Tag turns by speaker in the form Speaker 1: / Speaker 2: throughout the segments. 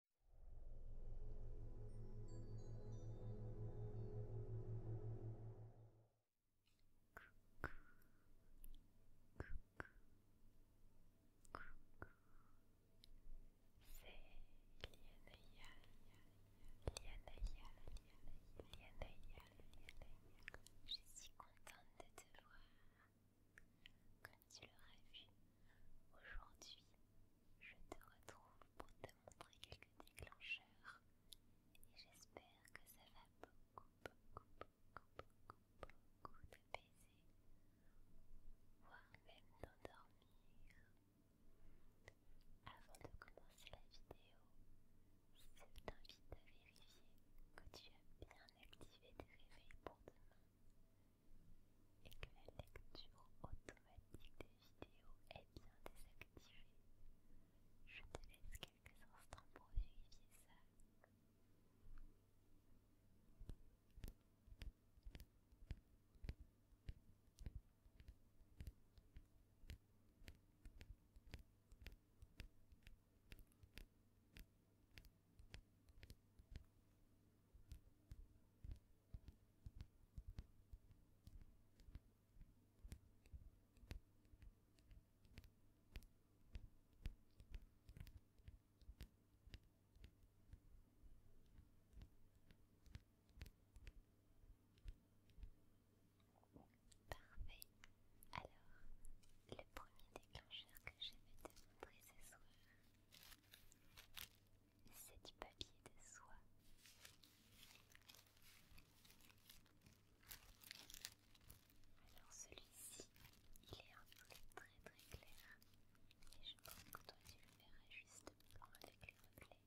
Speaker 1: Coucou. Je suis contente de te voir tu l'auras vu, aujourd'hui, je te retrouve pour te montrer quelques déclencheurs et j'espère que ça va beaucoup, beaucoup, beaucoup, beaucoup, beaucoup baiser, voire même t'endormir. Avant de commencer la vidéo, je t'invite à vérifier que tu as bien activé tes réveils pour demain et que la lecture automatique des vidéos est bien désactivée. Je te laisse quelques instants pour vérifier ça. Parfait. Alors, le premier déclencheur que je vais te montrer ce soir c'est du papier de soie. Alors celui-ci, il est un peu très très clair. Et je pense que toi tu le verras juste avec les reflets.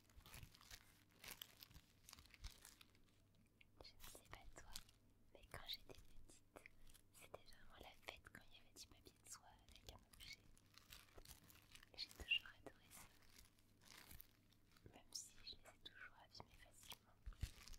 Speaker 1: Je ne sais pas toi, mais quand j'étais petite, c'était vraiment la fête quand il y avait du papier de soie avec un objet. J'ai toujours adoré ça. Même si je les ai toujours abîmés facilement.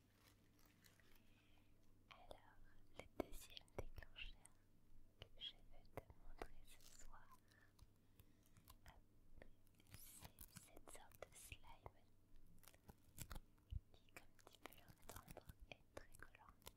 Speaker 1: Alors, le deuxième déclencheur que je vais te montrer ce soir, c'est cette sorte de slime qui, comme tu peux l'entendre, est très collante.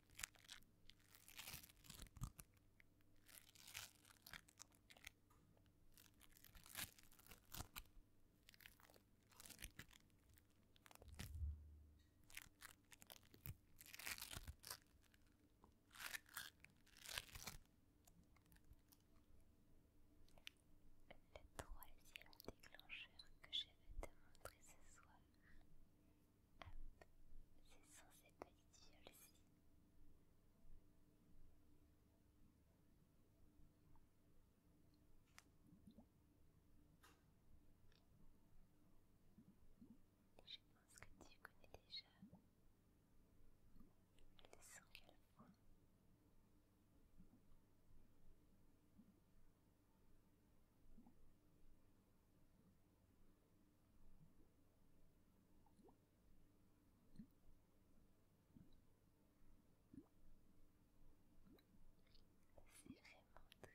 Speaker 1: Le troisième déclencheur que je vais te montrer ce soir c'est censé être ici aussi. Je pense que tu connais déjà le son c'est vraiment très très discret.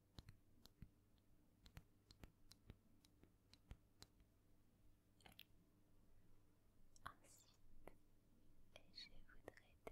Speaker 1: Ensuite, je voudrais te montrer cette petite éponge.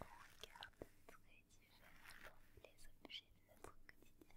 Speaker 1: on regarde très différemment les objets de notre quotidien.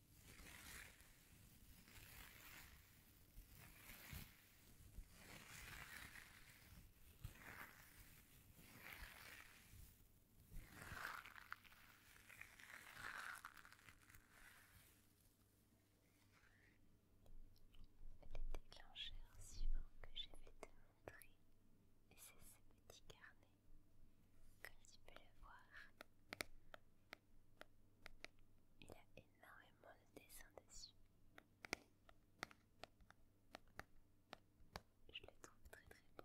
Speaker 1: Les déclencheurs suivants que je vais te montrer, et c'est ce petits carnet comme tu peux le voir. Il a énormément de dessins dessus. Je le trouve très très bon.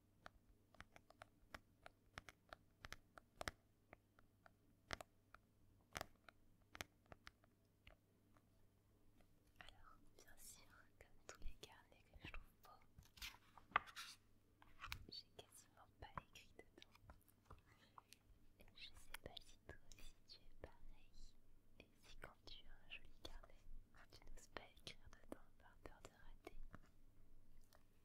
Speaker 1: Alors, bien sûr, comme tous les carnets que je trouve beaux, j'ai quasiment pas écrit dedans. Je sais pas si toi aussi tu es pareil, et si quand tu as un joli carnet, tu n'oses pas écrire dedans par peur de rater.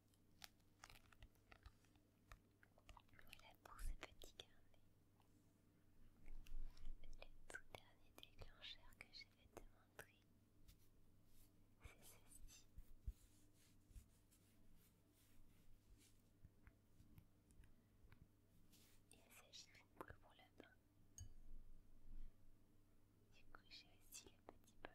Speaker 1: Voilà pour ce petit carnet. Le tout dernier déclencheur que je vais te montrer, c'est ceci. Il s'agit d'une boule pour la main. Du coup, j'ai aussi le petit bol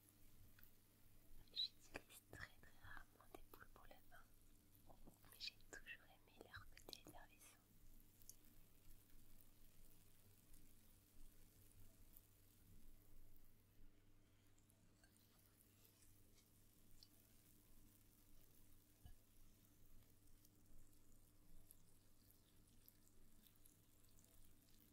Speaker 1: J'utilise très très rarement des boules pour le bain, mais j'ai toujours aimé leur côté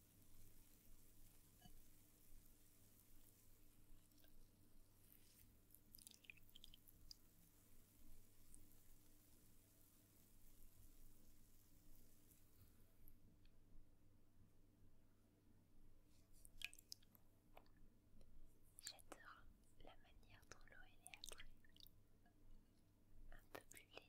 Speaker 1: J'adore la manière dont l'eau est après, un peu plus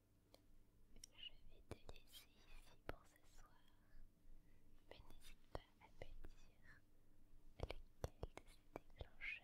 Speaker 1: Je vais te laisser ici pour ce soir, mais n'hésite pas à me dire lesquels de ces déclencheurs tu as préféré.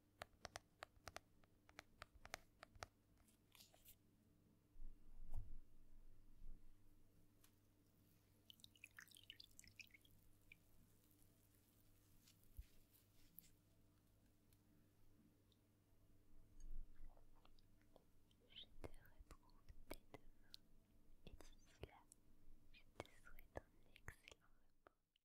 Speaker 1: Je te retrouve dès demain et d'ici là, je te souhaite un excellent repos.